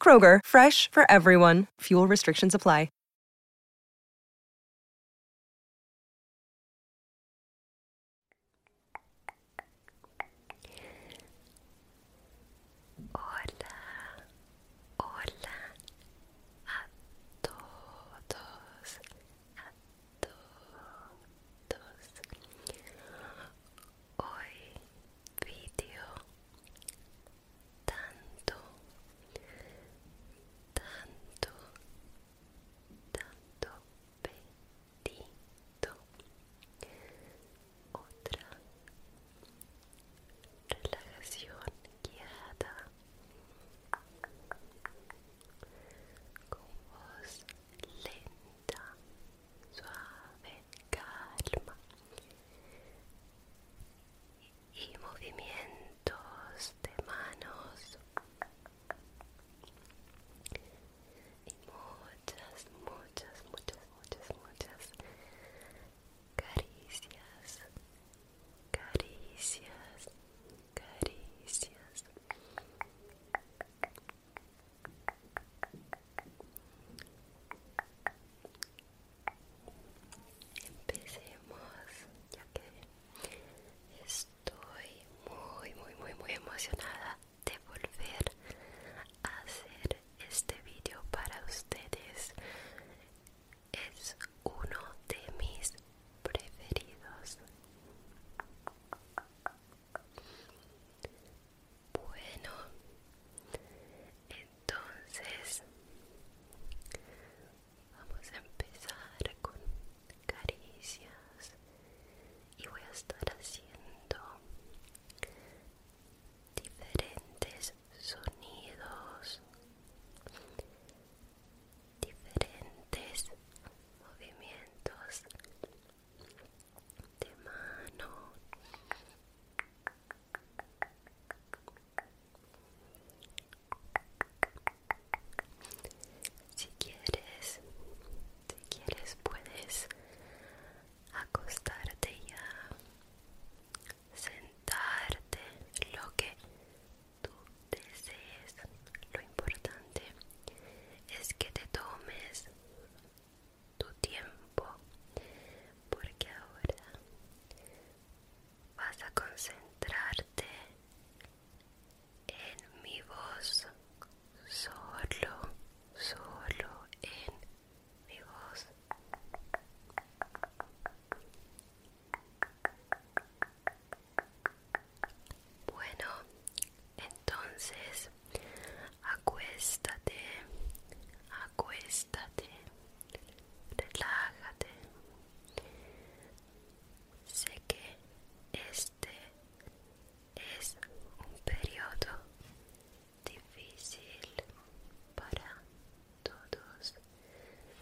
Kroger, fresh for everyone. Fuel restrictions apply. Hola, hola a todos, a todos. hoy vídeo tanto tanto tanto pedido otra relajación guiada con voz lenta suave, calma y movimientos de manos y muchas, muchas, muchas, muchas, muchas caricias, caricias, caricias Empecemos, ya que estoy muy, muy, muy, muy emocionada de volver a hacer este vídeo para ustedes. Es uno de mis preferidos. Bueno, entonces vamos a empezar con caricias y voy a estar haciendo diferentes sonidos, diferentes movimientos de mano si quieres si quieres puedes acostarte ya sentarte lo que tú desees lo importante es que te tomes tu tiempo porque ahora vas a concentrarte en mi voz solo solo en mi voz bueno, entonces acuéstate, acuéstate, relájate. Sé que este es un periodo difícil para todos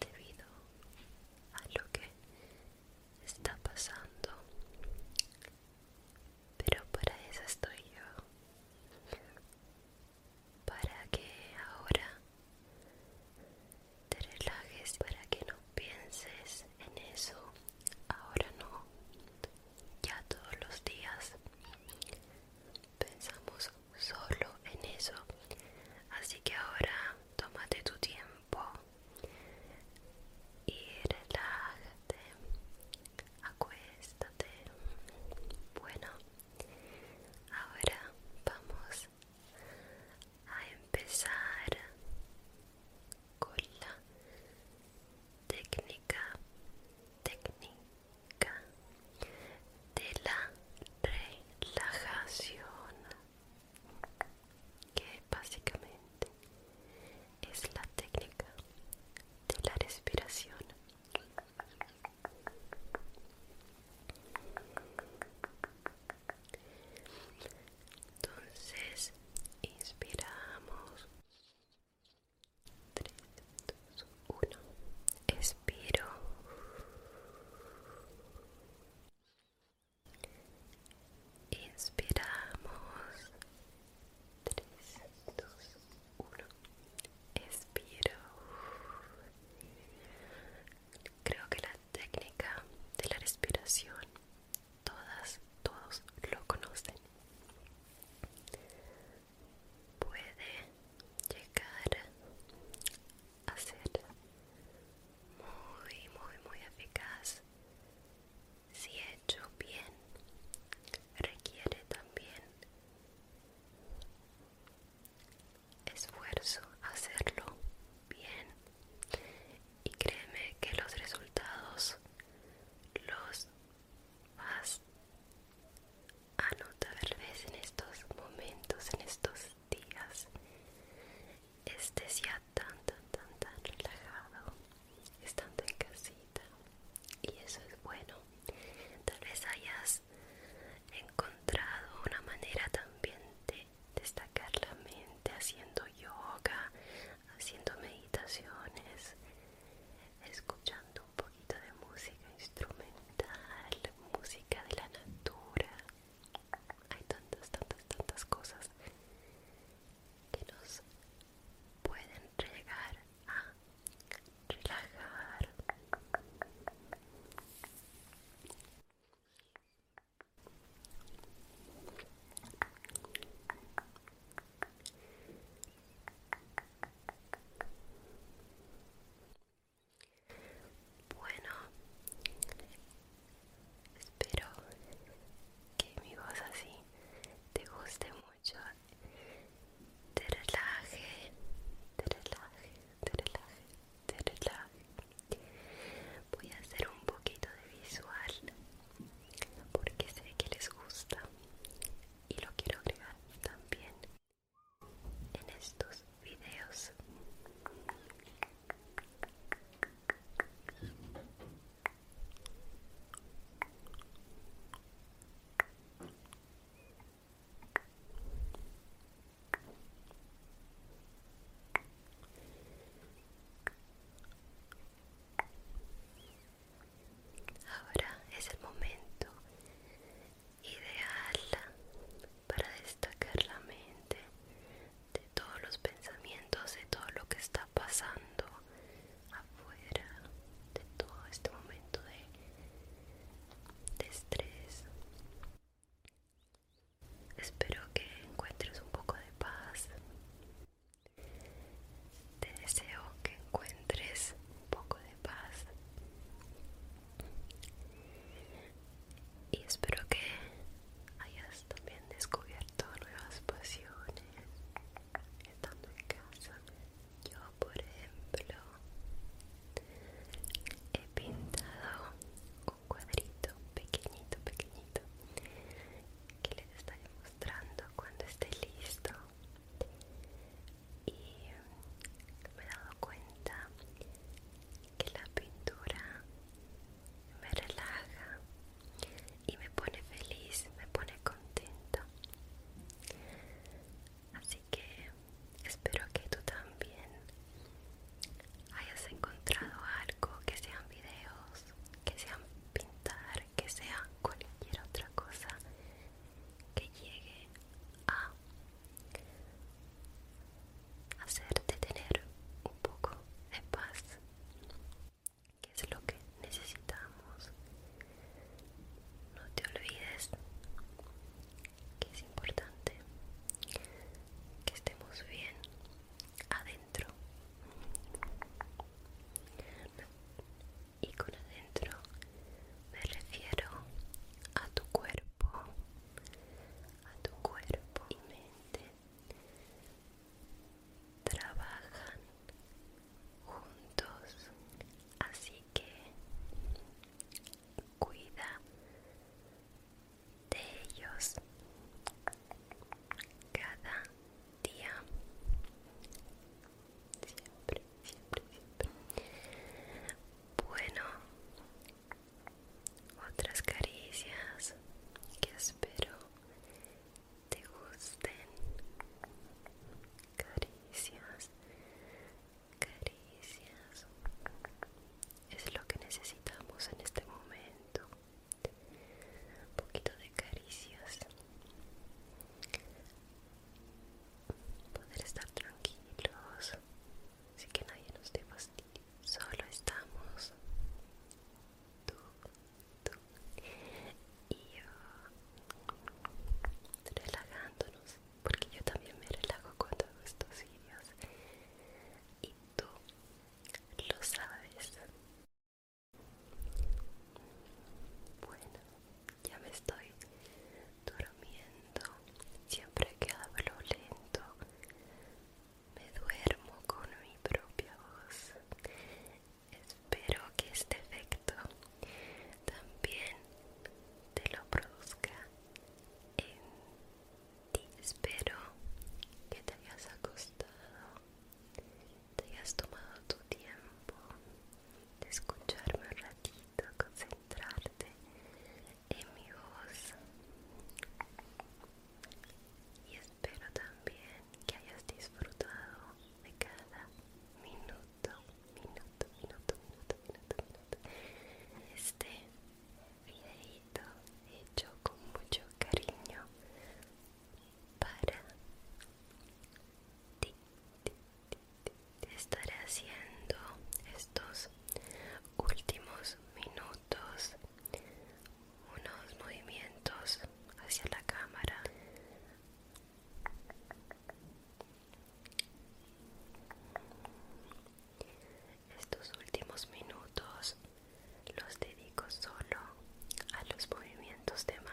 debido a lo que está pasando pero para eso estoy yo para que ahora te relajes para que no pienses en eso ahora no ya todos los días pensamos solo en eso así que ahora tómate tu tiempo y relájate, acuéstate. Bueno, ahora vamos a empezar con la técnica, técnica de la relajación que básicamente es la técnica de la respiración. Entonces, inspiramos. 3, 2, 1. Expiro. Inspiramos. 3, 2, 1. Expiro. Creo que la técnica de la respiración todas, todos lo conocen. Puede llegar a ser muy, muy, muy eficaz si hecho bien, requiere también esfuerzo hacerlo bien y créeme que los resultados los vas a notar en estos momentos en estos días este se ha tan, tan, tan, tan relajado estando en casita. Y eso es bueno. Tal vez hayas encontrado una manera también de destacar la mente haciendo yoga, haciendo meditaciones, escuchando un poquito de música instrumental, música de la natura hay tantas, tantas, tantas cosas que nos pueden llegar a relajar. Bueno, espero que mi voz así te guste mucho, te relaje, te relaje, te relaje, te relaje. Voy a hacer un poquito de visual porque sé que les gusta y lo quiero agregar también en estos videos. Ahora es el momento ideal para destacar la mente de todos los pensamientos, de todo lo que está pasando afuera, de todo este momento de, estrés. Espero que encuentres un poco de paz. Te deseo que encuentres un poco de paz y espero que hayas también descubierto nuevas pasiones estando en casa. Yo, por ejemplo, he pintado un cuadrito pequeñito, pequeñito que les estaré mostrando cuando esté listo y me he dado cuenta que la pintura me relaja y me pone feliz, me pone contento. Así que espero que tú también hayas encontrado algo, que sean videos, que sean pintar, que sea cualquier otra cosa que llegue a hacerte tener un poco de paz, que es lo que necesitamos. No te olvides que es importante que estemos bien adentro. Y con adentro me refiero a tu cuerpo a tu cuerpo y mente trabajan juntos, así que cuida de ellos cada día siempre siempre bueno otras caricias que espero te gusten caricias caricias es lo que necesitamos en este momento un poquito de caricias poder estar tranquilos así que nadie nos dé fastidio. Solo estamos tú, tú y yo relajándonos, porque yo también me relajo cuando todos estos vídeos y tú lo sabes. Bueno, ya me estoy durmiendo siempre que hablo lento me duermo con mi propia voz. Espero que este efecto también te lo produzca en ti. Espero que te hayas acostado, te hayas tomado tu tiempo de escucharme un ratito, concentrarte amigos y espero también que hayas disfrutado de cada minuto, minuto, minuto, minuto, minuto, minuto. Este videito hecho con mucho cariño para ti, Estaré haciendo estos últimos minutos unos movimientos hacia la cámara estos últimos minutos los dedico solo a los movimientos de mano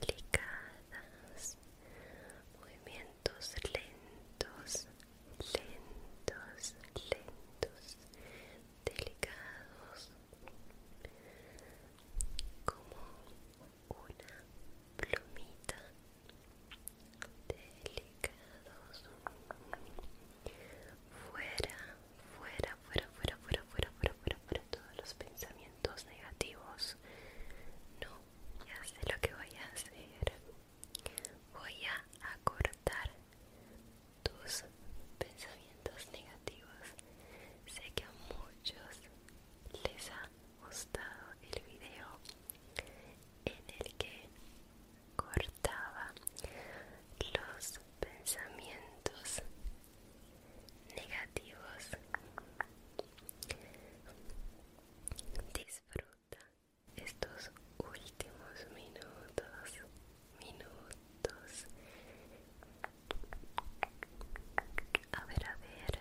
delicadas, movimientos lentos, lentos, lentos, delicados, como una plumita, delicados, fuera, fuera, fuera, fuera, fuera, fuera, fuera, fuera, fuera todos los pensamientos negativos. No ya sé lo que voy a hacer voy a cortar tus pensamientos negativos sé que a muchos les ha gustado el video en el que cortaba los pensamientos negativos. Disfruta estos últimos minutos, minutos. A ver, a ver.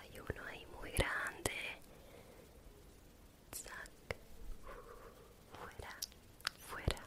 Hay uno ahí muy grande. Fuera, fuera,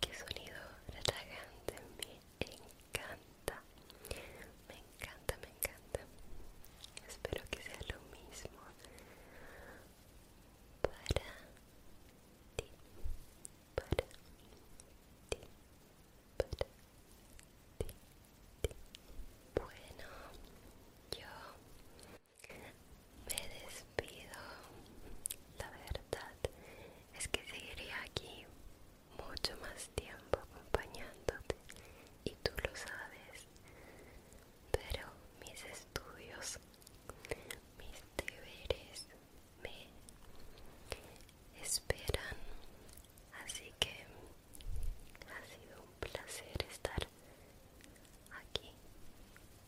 Qué sonido relajante, me encanta. Me encanta, me encanta. Espero que sea lo mismo para ti, para Bueno, yo me despido. La verdad es que seguiría aquí mucho más tiempo acompañándote y tú lo sabes. Pero mis estudios, mis deberes me esperan. Así que ha sido un placer estar aquí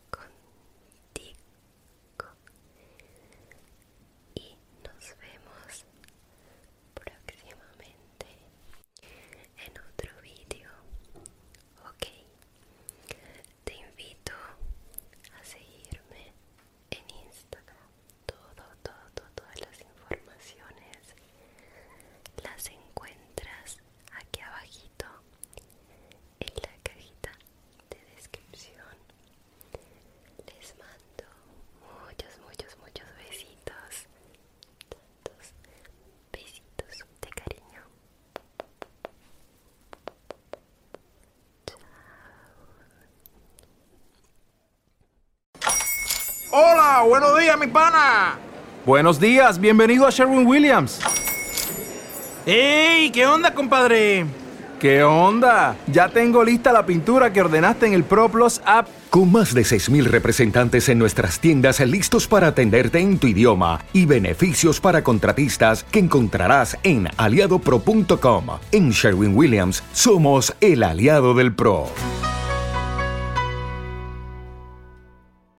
con y nos vemos próximamente en otro vídeo ok te invito a seguirme en instagram todo todo todas las informaciones las encuentras aquí abajito en la cajita de descripción. Les mando muchos, muchos, muchos besitos. Tantos besitos de cariño. Chao. Hola, buenos días, mi pana. Buenos días, bienvenido a Sherwin Williams. ¡Ey! ¿Qué onda, compadre? ¿Qué onda? Ya tengo lista la pintura que ordenaste en el ProPlus app. Con más de 6.000 representantes en nuestras tiendas listos para atenderte en tu idioma y beneficios para contratistas que encontrarás en aliadopro.com. En Sherwin Williams somos el aliado del PRO.